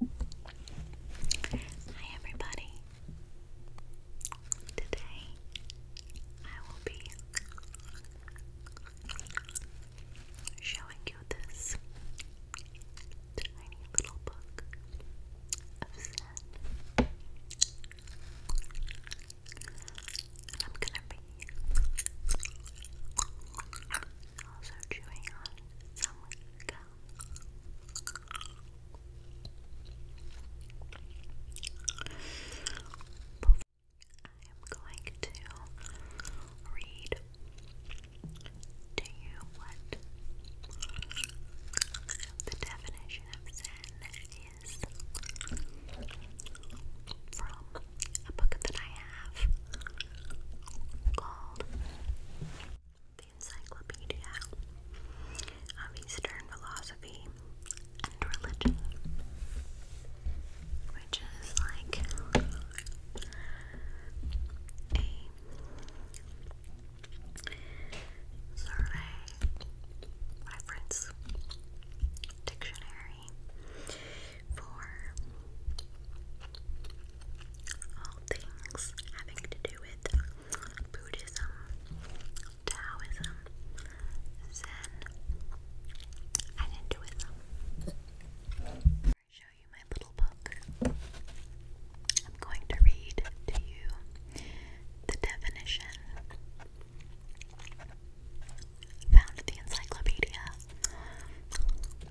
Hi everybody. Today I will be showing you this tiny little book of Zen. And I'm gonna be also I am going to read to you what the definition of Zen is from a book that I have called the Encyclopedia of Eastern Philosophy and Religion, which is like a survey, reference, dictionary for all things having to do with Buddhism, Taoism, Zen, and Hinduism. I show you my little book, I'm going to read to you the definition found in the Encyclopedia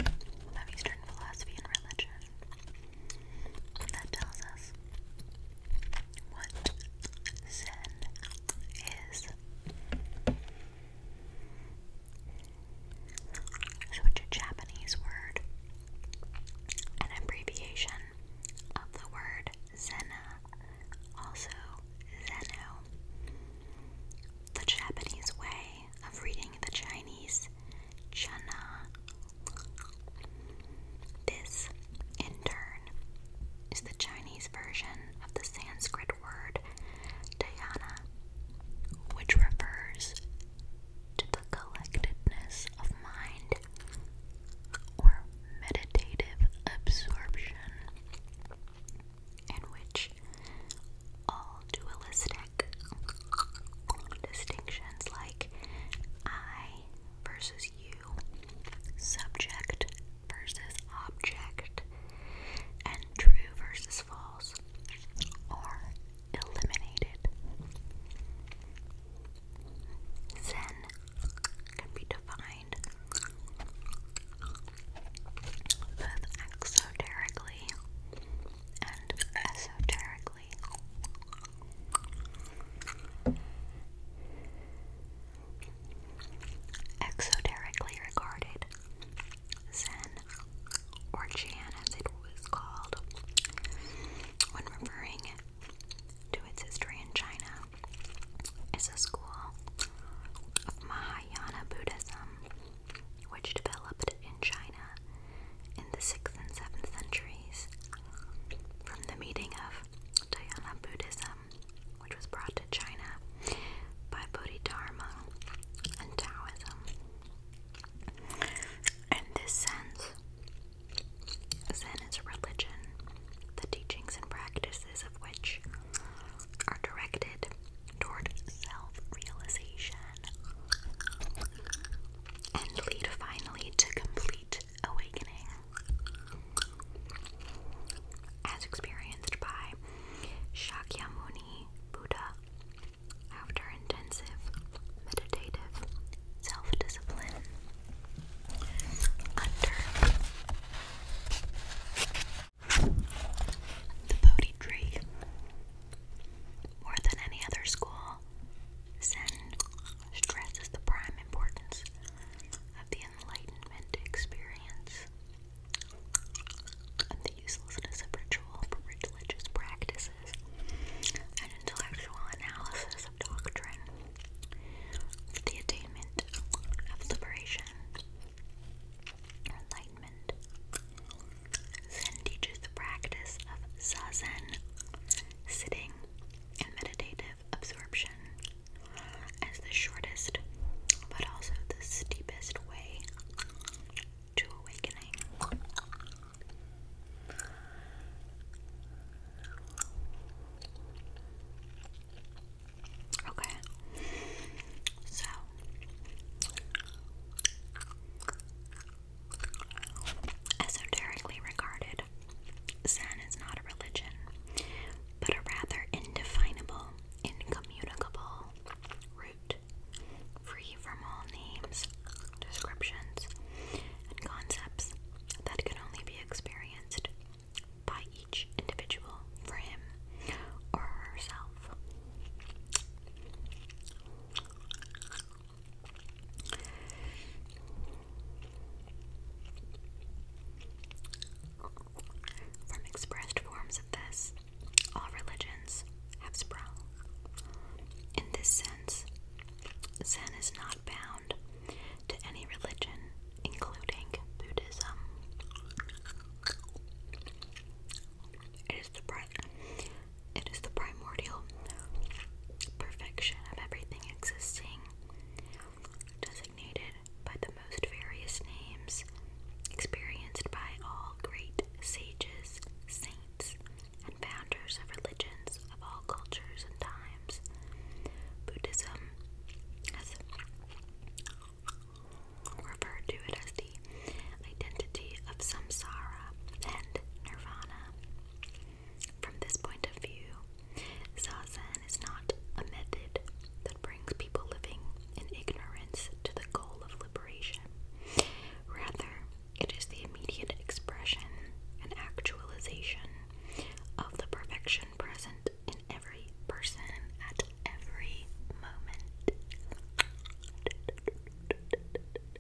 of Eastern Philosophy and Religion that tells us what Zen is. So it's a Japanese word, an abbreviation of the word Zena, also Zeno. The Japanese way of reading the Chinese chana. This, in turn, is the Chinese version of the Sanskrit word dhyana, which refers to the collectedness of mind or meditative absorption, in which all dualistic distinctions like I versus you, subject versus object, and true versus false are eliminated. Zen can be defined both exoterically and esoterically. Exoterically regarded, Zen, or Chan as it was called, when referring to its history in China, is a school of Mahayana Buddhism which developed in China in the 6th and 7th centuries from the meeting of Dhyana Buddhism, which was brought to China by Bodhidharma and Taoism. In this sense, Zen is a religion, the teachings and practices of which are directed toward self realization and lead finally to complete awakening, as experienced by Shakyamuni Buddha after intensive meditative self discipline under the Bodhi tree. More than any other school, Zen stresses the prime importance of the enlightenment experience and the uselessness of ritual, religious practices, and intellectual analysis of doctrine the attainment of liberation enlightenment. Zen teaches the practice of zazen, sitting, and meditative absorption as the shortest but also the steepest way to awakening. Okay, so Esoterically regarded, Zen is not a religion, but a rather indefinable, incommunicable root, free from all names, descriptions, and concepts that can only be experienced by each individual for him or herself. From expressed forms of this, all religions have sprung. In this sense, Zen is not bound to any religion, including Buddhism. It is the primordial perfection of everything existing, designated by the most various names, experienced by all great sages, saints, and founders of religions of all cultures and times. Buddhism has referred to it as identity, of samsara and nirvana. From this point of view, zazen is not a method that brings people living in ignorance to the goal of liberation. Rather, it is the immediate expression and actualization of the perfection present in every person at every moment.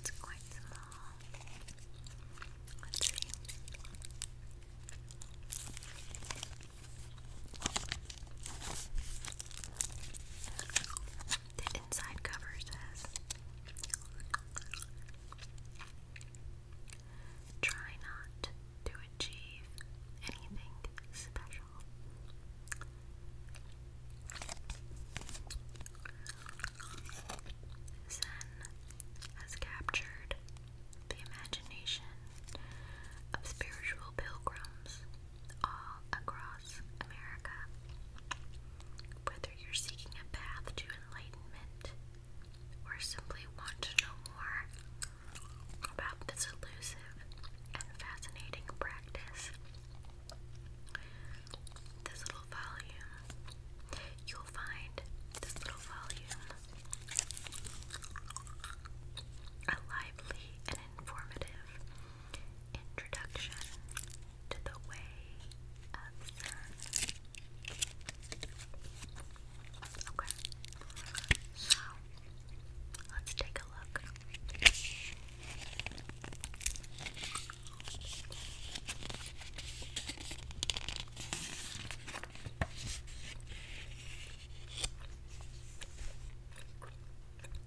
It's quite small. Let's see. The inside cover says Try not to achieve anything special. Zen has captured the imagination of spiritual pilgrims all across America. Whether you're seeking a path to enlightenment or simply want to know more about this elusive and fascinating practice, this little volume, you'll find this little volume a lively and informative Introduction to the Way of Okay, so let's take a look.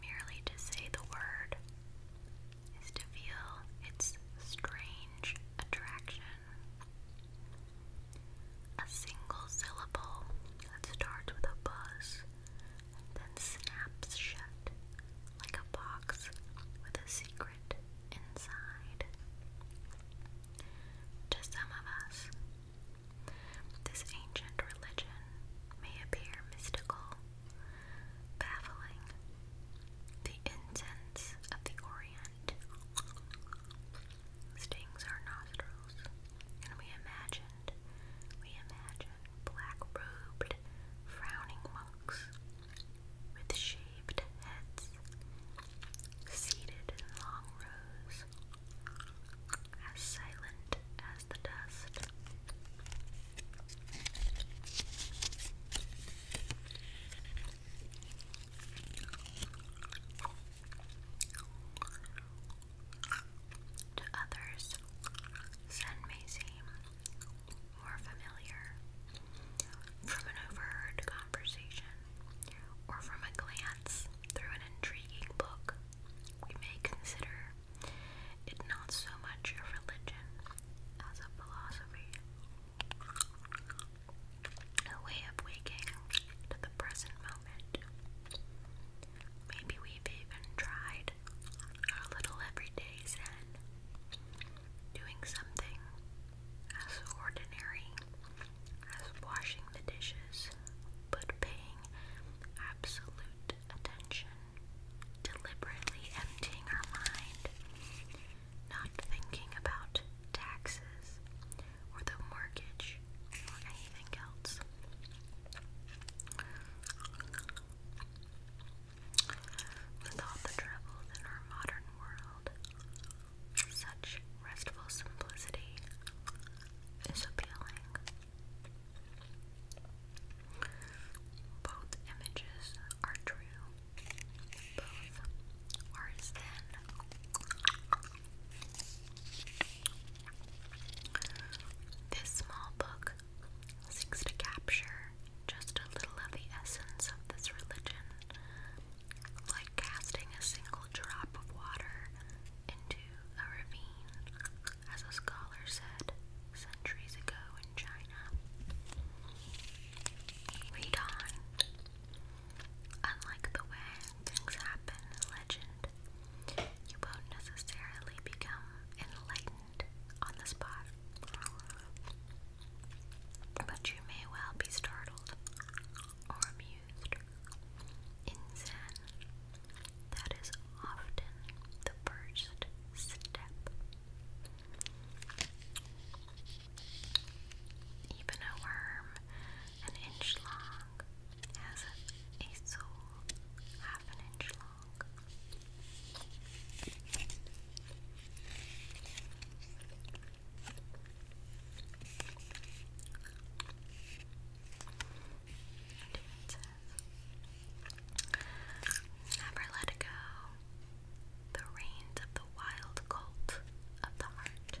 Merely to say the word is to feel its strange attraction. A single syllable that starts with a buzz then snaps shut like a box with a secret inside. To some of us, this ancient religion may appear mystical, baffling. The incense of the Orient stings our nostrils, and we imagined, we imagined black-robed, frowning monks with shaved heads seated in long rows as silent as the dust. To others, Zen may seem more familiar from an overheard conversation or from a glance through an intriguing book, we may consider it not so much a religion as a philosophy, a way of waking to the present moment. Maybe we've even tried our little everyday zen, doing something as ordinary as washing the dishes, but paying absolute attention, deliberately emptying our mind, not thinking about taxes or the mortgage or anything else. With the troubles in our modern world, such restful simplicity is appealing. Both images are true. Both are thin. This small book seeks to capture just a little of the essence of this religion, like casting a single drop of water into a ravine, as a scholar said centuries ago in China. Read Unlike the way things happen in legend, you won't necessarily become enlightened on the spot, but you may well be startled or amused used in Zen. That is often the first step. Even a worm an inch long has a soul half an inch long. Never let it go. The reins of the wild colt of the heart.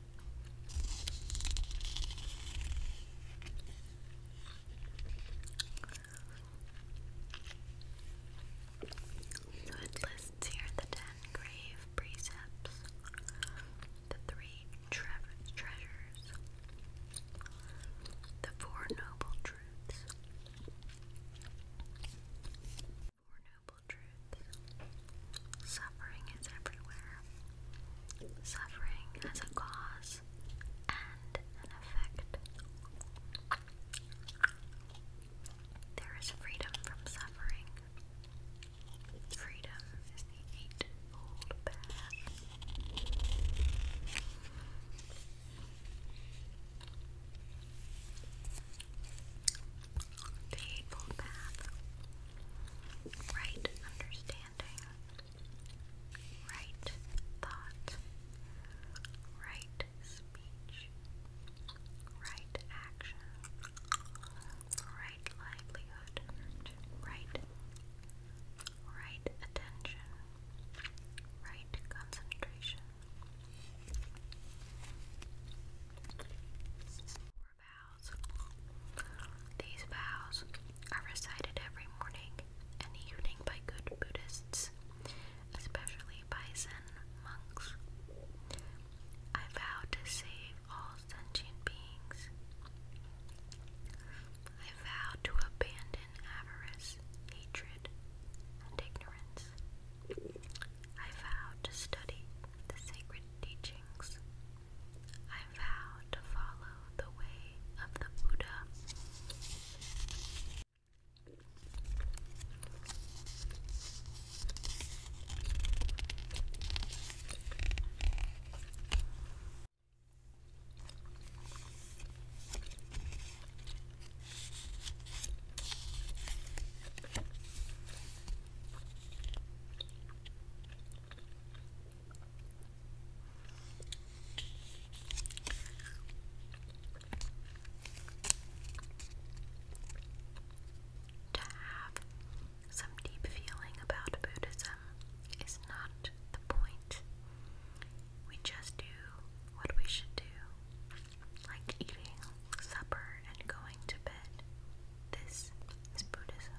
So it lists here the ten grave precepts, the three treasures, the four noble truths, Suffering is everywhere. Suffering has a cause and an effect. There is freedom from suffering. Freedom is the eightfold the Path, right understanding, right thought, right speech, right action, right livelihood, right, right attention, right concentration. These vows are recited every morning and evening by good Buddhists, especially by Zen monks. I vow to save all sentient beings. I vow to abandon avarice, hatred, and ignorance. I vow to study the sacred teachings. I vow to follow the way of the Buddha. To have some deep feeling about Buddhism is not the point. We just do what we should do, like eating supper and going to bed. This is Buddhism.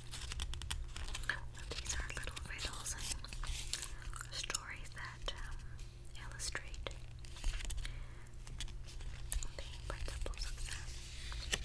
These are little riddles and stories that um, illustrate the principles of Zen.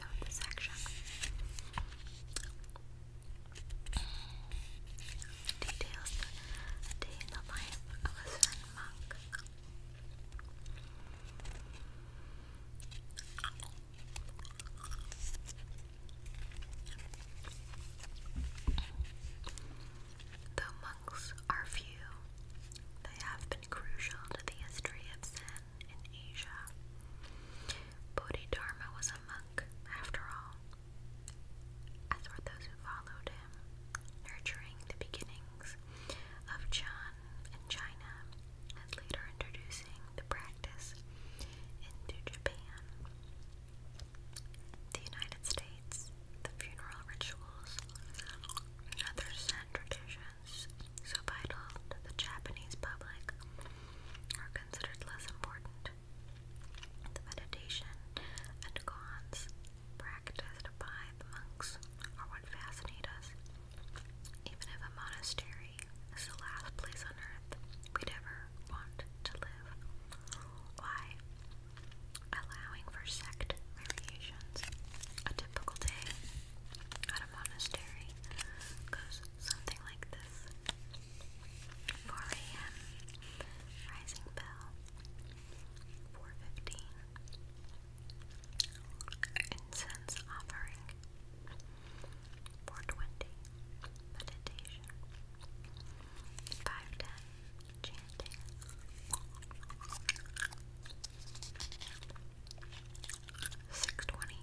show the Details the day in the life of a Zen monk. Though monks are few, they have been crucial to the history of Zen in and Asia. Bodhidharma was a monk, after all, as were those who followed him, nurturing the beginnings of Chan in China and later introducing the practice into Japan. The United States, the funeral rituals, and other Zen traditions so vital to the Japanese public are considered less important. The meditation and koans practiced by the monks are what fascinate us. Even if a monastery is the last place on earth we'd ever want to live. Why? Allowing for sect variations. A typical day monastery goes something like this 4 a.m. Rising bell 4.15 Incense offering 4.20 Meditation 5.10 Chanting 6:20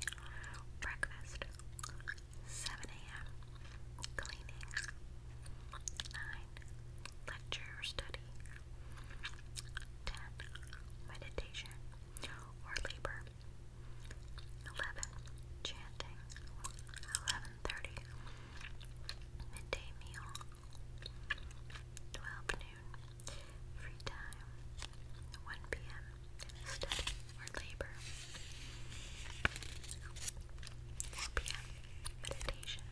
breakfast, 7 a.m. cleaning, 9 lecture or study, 10 meditation or labor, 11 chanting, 11:30 midday meal, 12 noon free time. 1 p.m. study or labor. 4 p.m. meditation.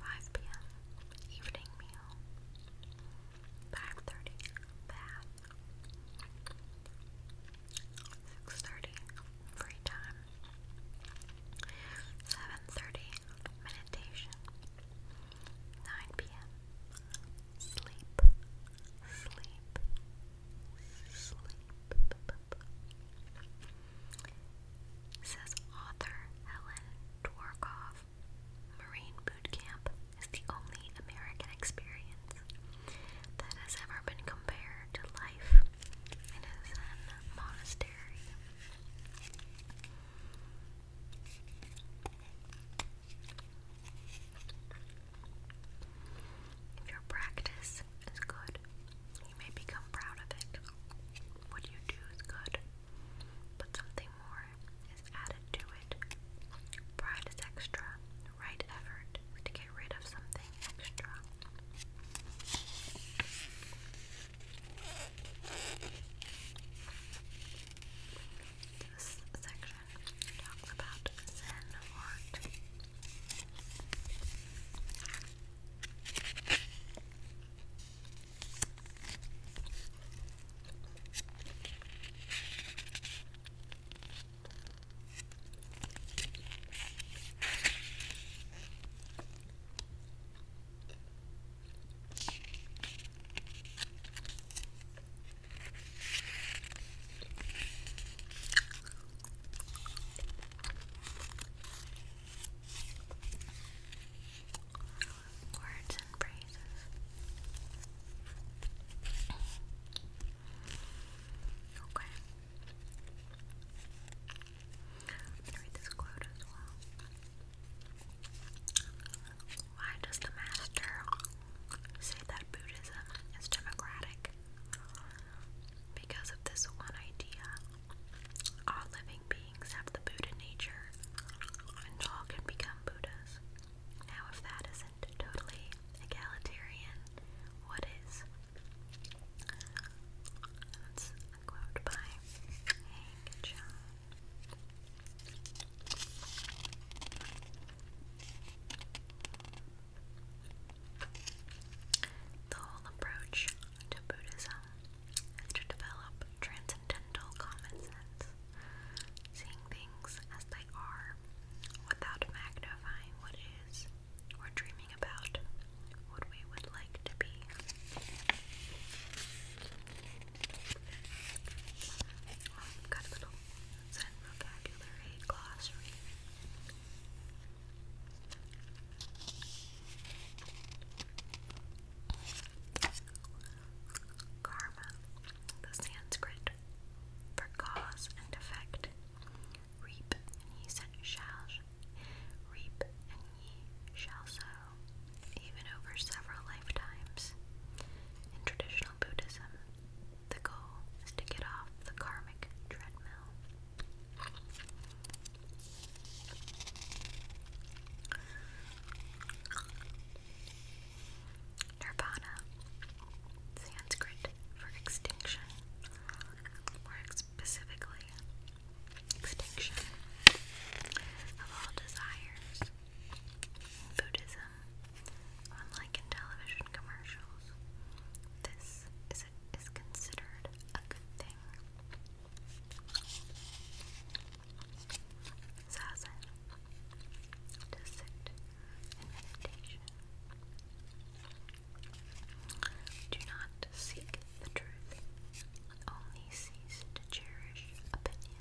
5 p.m. evening meal. 5:30 bath. 6:30 free time. 7:30 meditation. 9 p.m sleep, sleep, sleep. Says author Helen Dworkoff. Marine boot is the only American experience that has ever been compared to life in a monastery. If your practice is good, you may become proud of it. What you do is good, but something more is added to it. Pride is extra, right effort to get rid of something extra. This section talks about Zen art. Words and phrases. Okay. I'm read this quote as well. Why does the master say that Buddhism is democratic? Because of this one idea. All living beings have the Buddha nature, and all can become Buddhas. Now, if that isn't totally egalitarian, what is? That's a by Hank Jones. The whole approach to Buddhism is to develop transcendental common sense, seeing things as they are without magnifying what is or dreaming about what we would like to be. Karma, the Sanskrit for cause and effect. Reap and ye shall reap and ye shall sow even over several lifetimes. In traditional Buddhism, the goal is to get off the karmic treadmill. Nirvana, Sanskrit for extinction, or specifically extinction of all desires Buddhism on in television commercials. This is considered a good thing. Zazen to sit in meditation. Do not seek the truth. Only cease to cherish opinions.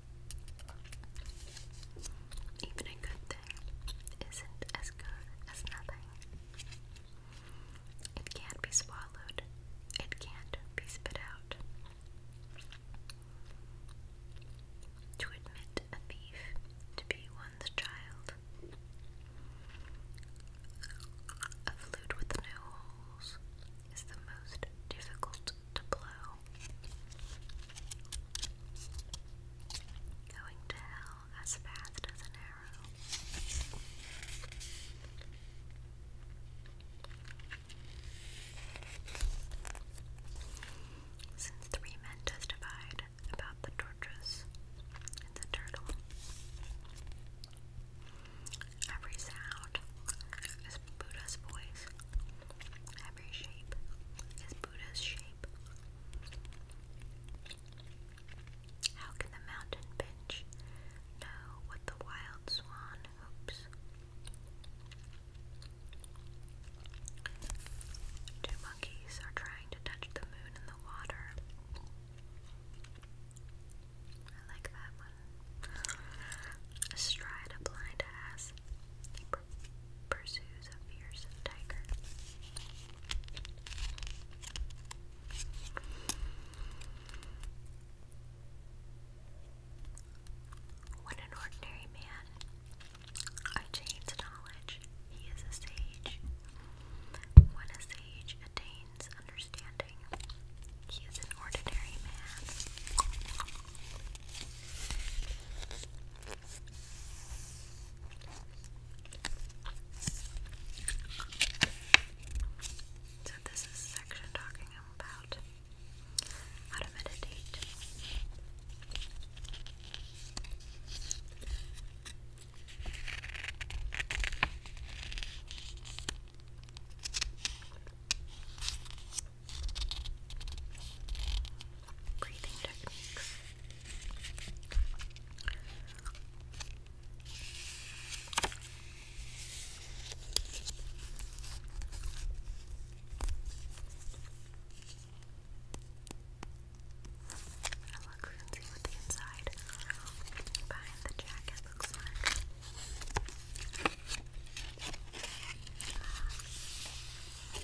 Even a good thing isn't as good as nothing. It can't be swallowed, it can't be spit out. To admit a thief to be one's child. A flute with no holes is the most difficult to blow. Going to hell as fast as an arrow. Since three men testified about the tortoise and the turtle, every sound is Buddha's voice, every shape is Buddha's shape. How can the mountain bench know what the wild swan hopes? Two monkeys are trying to touch the moon in the water. I like that one. Astride a blind ass, pursues a fierce tiger. When an ordinary man attains knowledge, he is a sage. When a sage attains understanding, he is an ordinary man. So this is a talking about how to meditate breathing techniques. I look the inside behind the jacket looks like.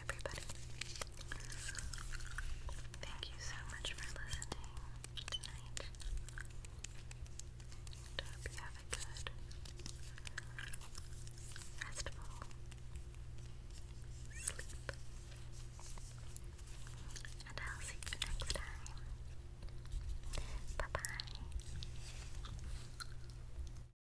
everybody. Thank you so much for listening tonight. I hope you have a good restful sleep. And I'll see you next time. Bye bye.